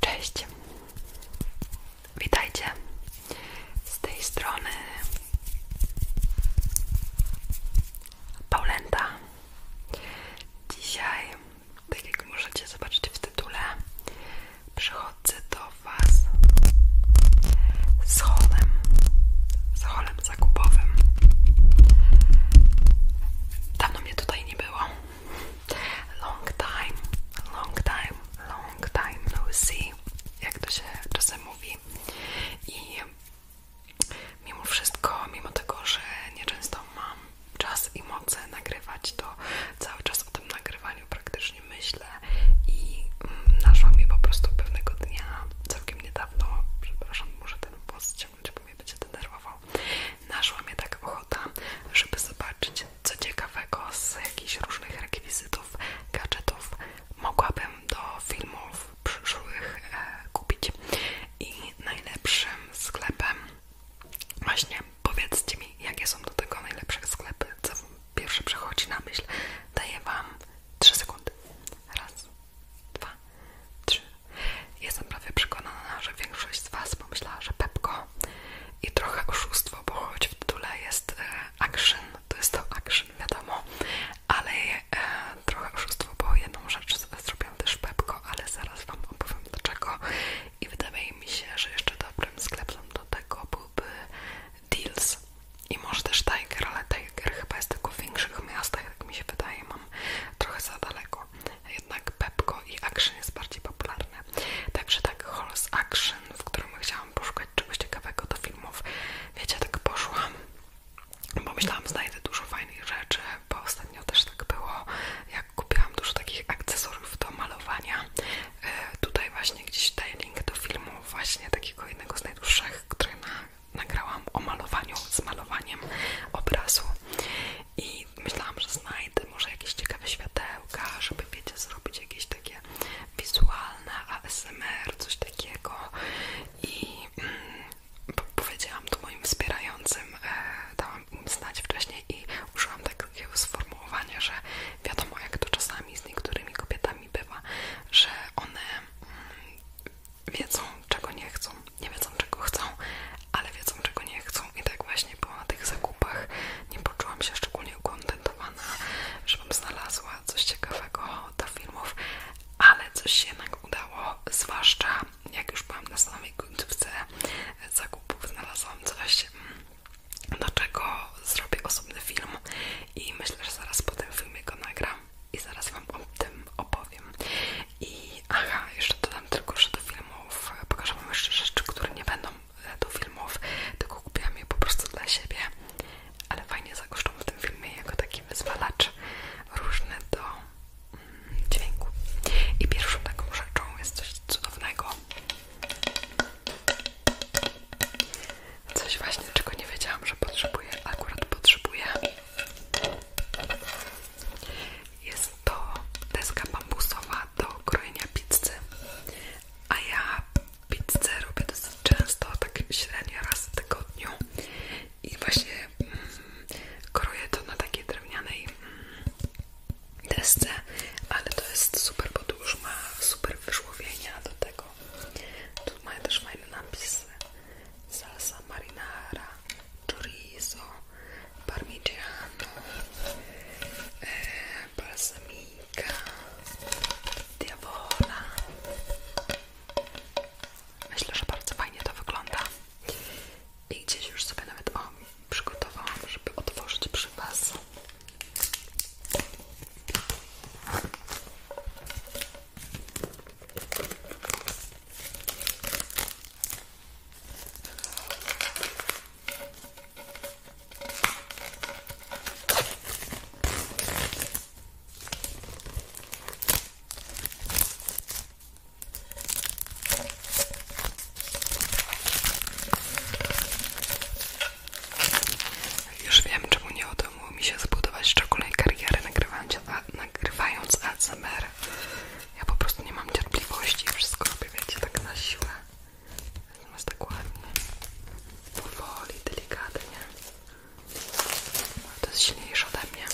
Cześć, witajcie z tej strony Paulenta. Dzisiaj, tak jak możecie zobaczyć w tytule, przychodzę do Was z holem, z holem planem zakupowym. Dawno mnie tutaj nie było. Long time, long time, long time no see, jak to się czasem mówi. I mimo wszystko, mimo tego, że nieczęsto mam czas i moce nagrywać, to cały czas o tym nagrywaniu praktycznie myślę i mm, naszła mi po prostu pewnego dnia, całkiem niedawno, przepraszam, może ten głos czemu mnie będzie denerwował. Naszła mnie tak ochota, żeby zobaczyć co ciekawego z jakichś różnych rekwizytów, gadżetów mogłabym do filmów przyszłych e, kupić. I najlepszym sklepem, właśnie powiedzcie mi, jakie są do tego najlepsze sklepy, co pierwsze przechodzi na myśl, daję Wam 3 sekundy. Raz, dwa, trzy, Jestem prawie przekonana, że większość z Was pomyślała, że Pepko i trochę oszustwo, bo choć w tytule jest e, action, to jest to action, wiadomo, ale e, trochę oszustwo, bo jedną rzecz zrobiłam też Pepko, ale zaraz Wam opowiem dlaczego i wydaje mi się, że jeszcze dobrym sklepem do tego byłby Deals i może też Tiger, ale Tiger chyba jest tylko w większych miastach, tak mi się wydaje, mam trochę za daleko. Jednak Pepko i Action jest bardziej popularne. Także tak Halls Action, w którym chciałam poszukać czegoś ciekawego do filmów. Wiecie, tak poszłam, bo myślałam, znajdę dużo fajnych rzeczy, bo ostatnio też tak było, jak kupiłam dużo takich akcesorów do malowania. E, tutaj właśnie gdzieś daję link do filmu właśnie takiego jednego z najdłuższych, który na nagrałam o malowaniu, z malowaniem obrazu i myślałam, że znajdę może jakieś ciekawe światełka, żeby wiecie, zrobić jakieś takie wizualne ASMR, coś takiego i mm, powiedziałam to moim wspierającym, e, dałam im znać wcześniej i użyłam takiego sformułowania, że wiadomo jak to czasami z niektórymi kobietami bywa, że one mm, wiedzą, czego nie chcą, nie wiedzą, czego chcą, ale wiedzą, czego nie chcą. I tak właśnie było na tych zakupach. Nie poczułam się szczególnie ukontentowana, żebym znalazła coś ciekawego do filmów, ale coś się jednak udało, zwłaszcza jak już byłam na samej końcówce zakupów, znalazłam coś, do czego zrobię osobny film i myślę, że zaraz po tym filmie go nagram, i zaraz Wam o tym opowiem. I aha, jeszcze dodam tylko, że filmów pokażę Wam jeszcze rzeczy, które nie będą e, do filmów, tylko kupiłam je po prostu dla siebie, ale fajnie zagoszczą w tym filmie jako taki wyzwalacz różny do mm, dźwięku. I pierwszą taką rzeczą jest coś cudownego. Coś właśnie, czego nie wiedziałam, że potrzebuję, akurat potrzebuję. Jest to deska bambusowa do krojenia pizzy, a ja pizzę robię dosyć często, tak średnio raz w tygodniu i właśnie mm, kroję to na takiej drewnianej mm, desce, ale to jest super, bo tu już ma super wyżłowienia do tego. Tu mają też fajne napisy salsa marinara, chorizo, parmigiano, eh, balsamica, diabola. Myślę, że bardzo fajnie to wygląda. I gdzieś już sobie nawet o, przygotowałam, żeby otworzyć przy Was. Już wiem, czemu nie udało mi się zbudować szczególnej kariery nagrywając, a, nagrywając AC. ASMR. Ja po prostu nie mam cierpliwości i wszystko robię, wiecie, tak na siłę. Natomiast tak ładnie, powoli, delikatnie. To jest silniejsze od mnie.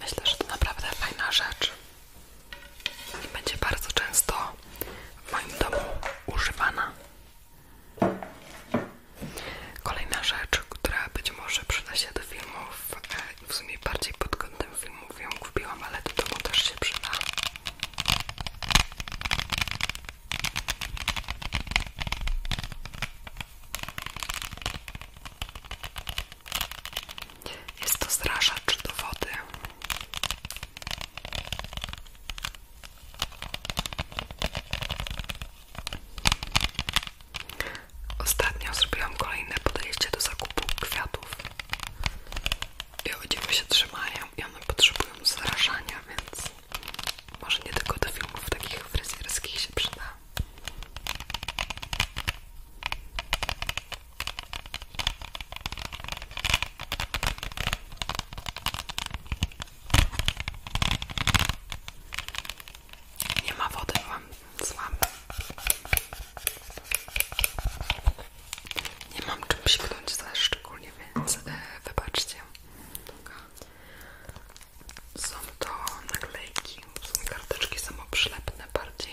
Myślę, że to naprawdę fajna rzecz i będzie bardzo często w moim domu używana. Kolejna rzecz, która być może przyda się do filmów, e, w sumie bardziej pod kątem filmów ją kupiłam, ale do domu też się przyda. Jest to zraszacz do wody. Ostatnio zrobiłam kolejne podejście do zakupu kwiatów i odziewy się trzymają i one potrzebują zrażania, więc może nie tylko do filmów takich fryzjerskich się przyda. Nie ma wody mam z wami. Nie mam czym świetnąć za szczególnie, więc e, wybaczcie. Są to naklejki, są karteczki są samoprzylepne bardziej.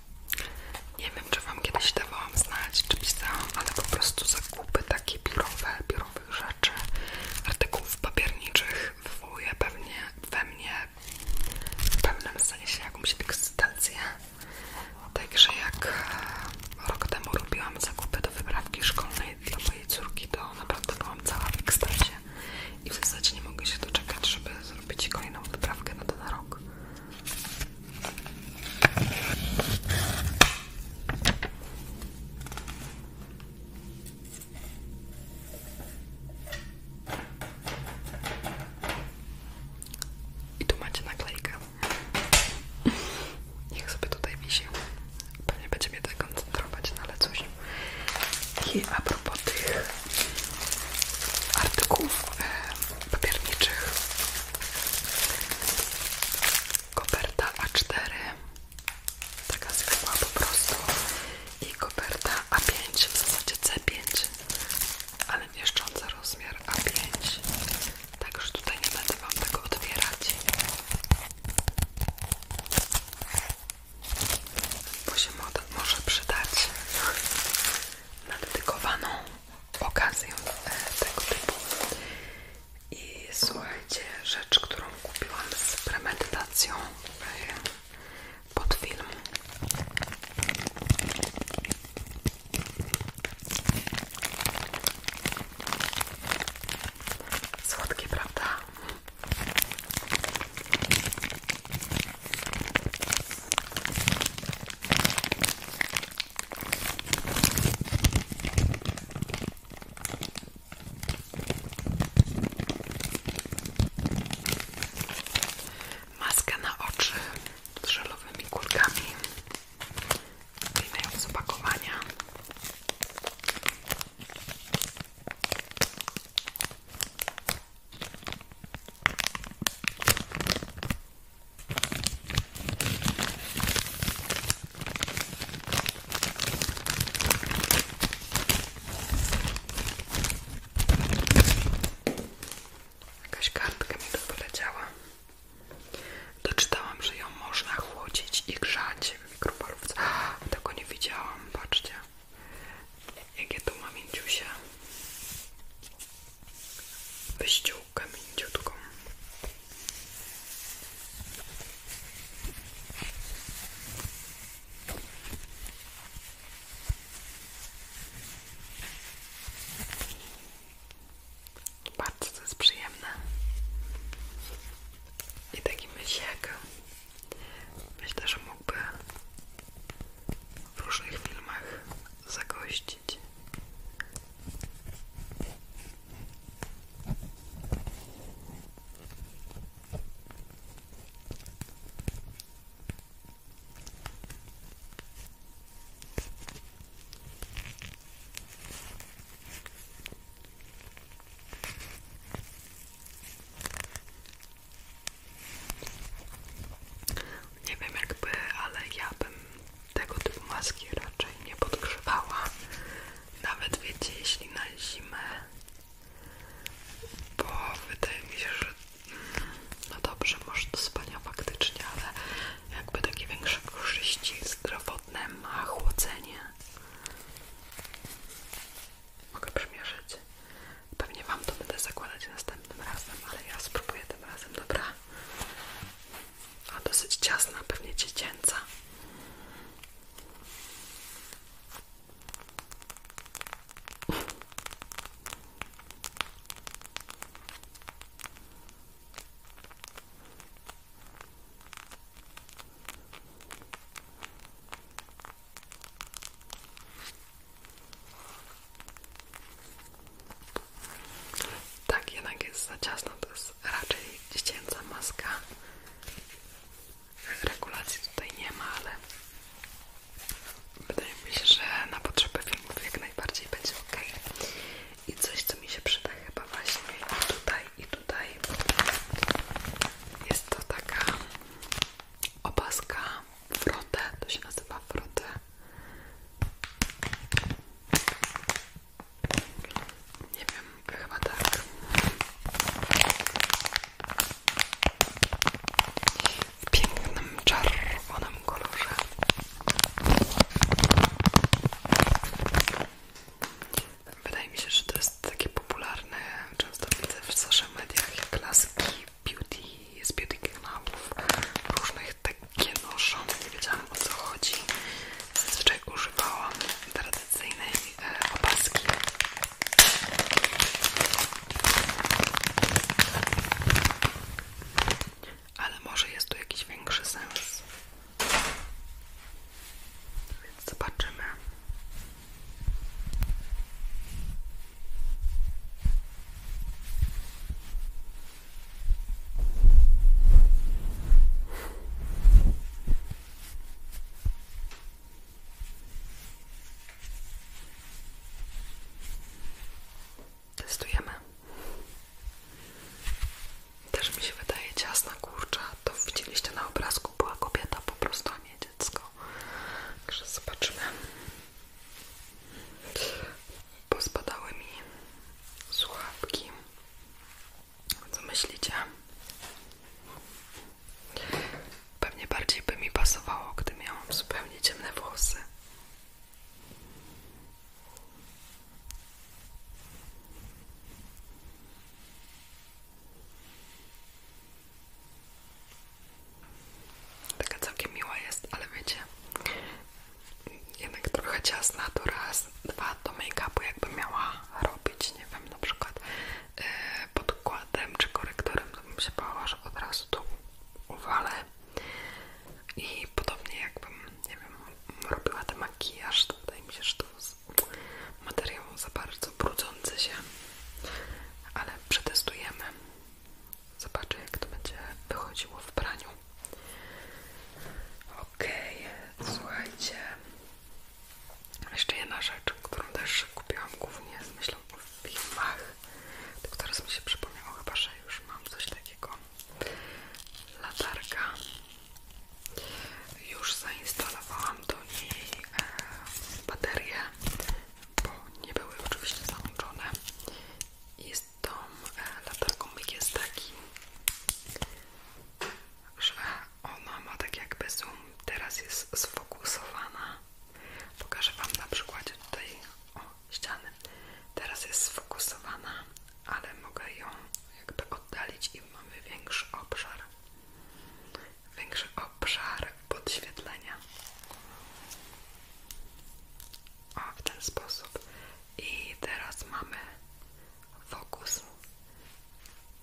Nie wiem, czy wam kiedyś dawałam znać, czy pisałam, ale po prostu zakupy takie biurowe, biurowych rzeczy, artykułów papierniczych wywołuje pewnie we mnie w pewnym sensie jakąś ekscytację. Także jak e, rok temu robiłam zakupy do wyprawki szkolnej dla mojej córki, to naprawdę byłam cała w ekstazie i w zasadzie nie mogę się doczekać, żeby zrobić kolejną wyprawkę na ten rok. I tu macie naklejkę. Niech sobie tutaj wisi. Pewnie będzie mnie tak koncentrować, no ale cóż. I a propos tych artykułów e, papierniczych, Koperta A4, taka zwykła po prostu i koperta A5, w zasadzie C5, ale mieszcząca rozmiar A5, także tutaj nie będę Wam tego otwierać, bo się może przydać na dedykowaną okazję e, tego typu. I słuchajcie, rzecz, którą kupiłam z premedytacją e, pod film. Słodkie, prawda? Maska na oczy z żelowymi kulkami wyjmują z Jakaś kartka mi tu Doczytałam, że ją można chłodzić i grzać w mikrofalówce. Tego nie widziałam, patrzcie. Jakie tu mam mięciusie. Wyściół. Bardzo to jest przyjemne i taki myślek myślę, że mógłby w różnych filmach zagościć nie wiem jakby, ale ja bym tego typu maski raczej nie podgrzewała. Nawet wiecie, jeśli na zimę, bo wydaje mi się, że no dobrze, może do spania faktycznie, ale jakby takie większe korzyści zdrowotne ma chłodzenie. Mogę przymierzyć. Pewnie Wam to będę zakładać następnym razem, ale ja spróbuję tym razem, dobra? a dosyć ciasna, pewnie dziecięca. Tak, jednak jest za ciasno, to jest raczej dziecięca maska. Regulacji tutaj nie ma, ale wydaje mi się, że na potrzeby filmów jak najbardziej będzie ok. I coś, co mi się przyda chyba właśnie tutaj, i tutaj jest to taka opaska Frotę, to się nazywa Frotę nie wiem, chyba tak. W pięknym czerwonym kolorze. Wydaje mi się, że to jest takie popularne, często widzę w social mediach, klaski, laski beauty, z beauty kanałów różnych których takie noszą, nie wiedziałam o co chodzi. Zazwyczaj używałam tradycyjnej e, opaski. Ale może jest tu jakiś większy sens. Więc zobaczymy. Testujemy. Też mi się wydaje ciasna kurcza. To widzieliście na obrazku, była kobieta po prostu, a nie dziecko. Także zobaczymy. Pospadały mi słuchawki. Co myślicie? Pewnie bardziej by mi pasowało, gdy miałam zupełnie ciemne włosy. Taka całkiem miła jest, ale wiecie, jednak trochę ciasna, to raz, dwa do make-upu jakby miała robić, nie wiem, na przykład e, podkładem czy korektorem, to bym się bała, że od razu to uwalę i podobnie jakbym, nie wiem, robiła ten makijaż, to wydaje mi się, że to materiał za bardzo brudzący się, ale przetestujemy. Zobaczę, jak to będzie wychodziło w praniu. OK, słuchajcie. Jeszcze jedna rzecz, którą też kupiłam głównie z myślą o filmach. Tylko teraz mi się przypomniało chyba, że już mam coś takiego. Latarka. Już zainstalowałam do niej e, baterię, bo nie były oczywiście załączone. Jest tą e, latarką myk jest taki, że ona ma tak jakby zoom, teraz jest sfokusowana. Pokażę Wam na przykładzie tutaj o, ściany. Teraz jest sfokusowana, ale mogę ją jakby oddalić i mamy większy obszar. Większy obszar podświetlenia. O, w ten sposób. I teraz mamy fokus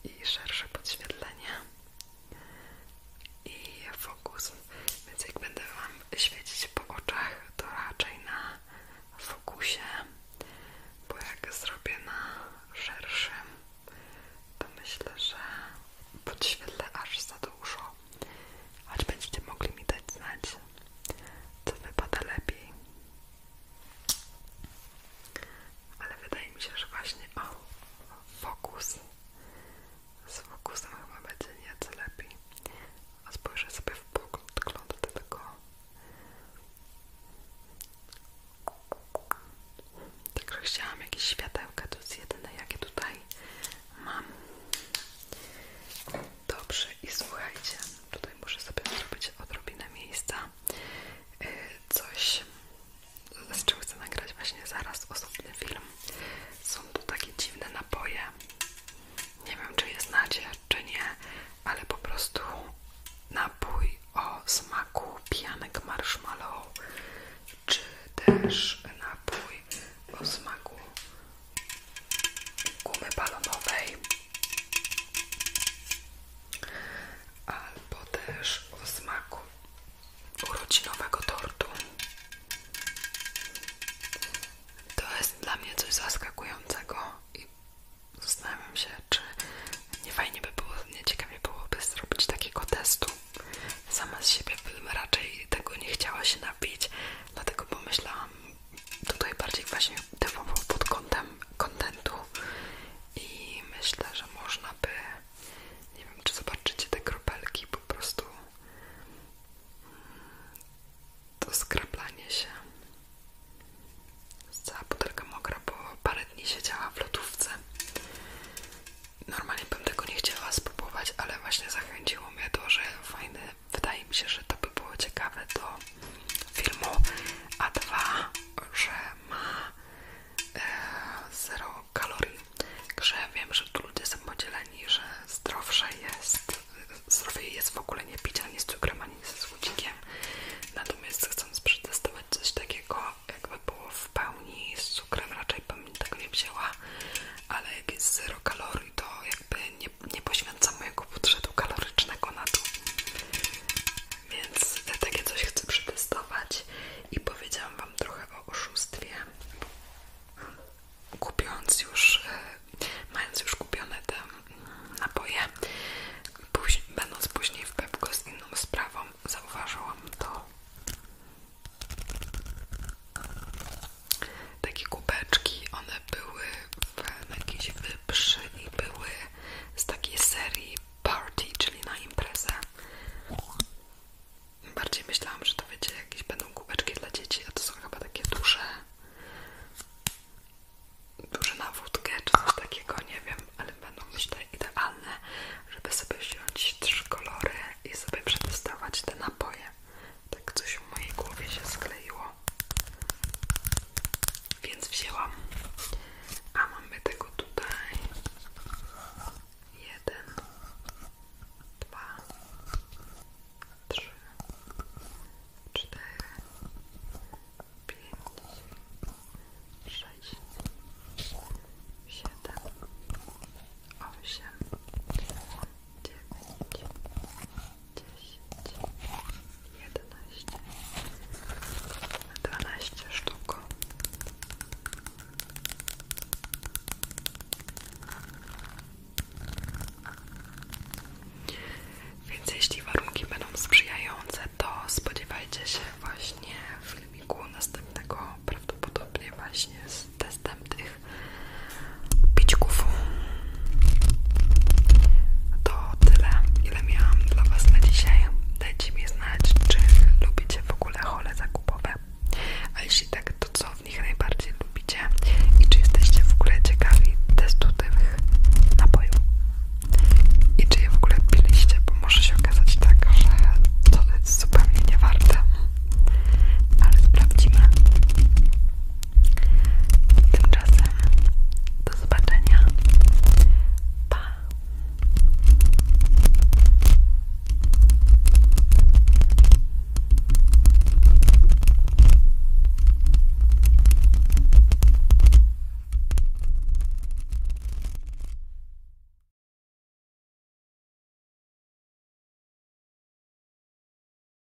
i szersze podświetlenie i fokus. Więc jak będę Wam świecić po oczach, to raczej na fokusie, bo jak zrobię na szerszym, to myślę, że podświetlę aż za dużo aż będziecie mogli mi dać znać, co wypada lepiej. Ale wydaje mi się, że właśnie o, fokus. Z fokusem chyba będzie nieco lepiej. A spojrzę sobie w pogląd do tego. Także chciałam jakieś światełka, to jest jedyne jakie tutaj mam. Dobrze, i słuchajcie, tutaj muszę sobie zrobić odrobinę miejsca. Y, coś, z czym chcę nagrać właśnie zaraz osobny film. Są tu takie dziwne napoje. Nie wiem, czy je znacie, czy nie, ale po prostu napój o smaku pianek marshmallow, czy też napój o smaku gumy balonowej albo też o smaku urodzinowego tortu. To jest dla mnie coś zaskakującego i zastanawiam się, czy nie fajnie by było, nie ciekawie byłoby zrobić takiego testu. Sama z siebie bym raczej tego nie chciała się napić, dlatego pomyślałam, tutaj bardziej właśnie pod kątem kontentu i myślę, że można by nie wiem, czy zobaczycie te kropelki po prostu mm, to skraplanie się cała butelka mokra, bo parę dni działa w lodówce normalnie bym tego nie chciała spróbować, ale właśnie zachęciło mnie to, że fajne wydaje mi się, że to by było ciekawe do filmu, a dwa, że ma e, zero kalorii, że wiem, że tu ludzie są podzieleni, że zdrowsze jest, zdrowiej jest w ogóle nie pić ani z cukrem, ani ze słodzikiem, natomiast chcąc przetestować coś takiego, jakby było w pełni z cukrem, raczej bym tego nie wzięła, ale jak jest zero kalorii, to jakby nie nie, nie poświęcam mojego budżetu kalorycznego na to. Więc takie coś chcę przetestować i powiedziałam Wam trochę o oszustwie. kupując już, e, mając już kupione te mm, napoje, później, będąc później w Pepko z inną sprawą, zauważyłam to takie kubeczki, one były w jakiejś wyprzy i były z takiej serii party, czyli na imprezę. Bardziej myślałam, że to będzie jakieś będą kubeczki dla dzieci, a to są chyba takie duże duże na wódkę czy coś takiego, nie wiem, ale będą myślę idealne, żeby sobie wziąć trzy kolory i sobie przetestować te napoje tak coś w mojej głowie się skleiło, więc wzięłam. A mamy tego tutaj jeden, dwa, trzy, cztery, pięć, sześć, siedem, osiem, dziewięć, dziesięć, jedenaście, dwanaście sztuk. Więc jeśli warunki będą sprzyjające, to spodziewajcie się właśnie filmiku następnego prawdopodobnie właśnie z testem tych pićków. To tyle, ile miałam dla Was na dzisiaj. Dajcie mi znać, czy lubicie w ogóle hole zakupowe. A jeśli tak, to co w nich najbardziej lubicie i czy jesteście w ogóle ciekawi testu tych napojów. I czy je w ogóle piliście, bo może się okazać tak, że to jest zupełnie niewarte. Ale sprawdzimy. Tymczasem do zobaczenia. Pa!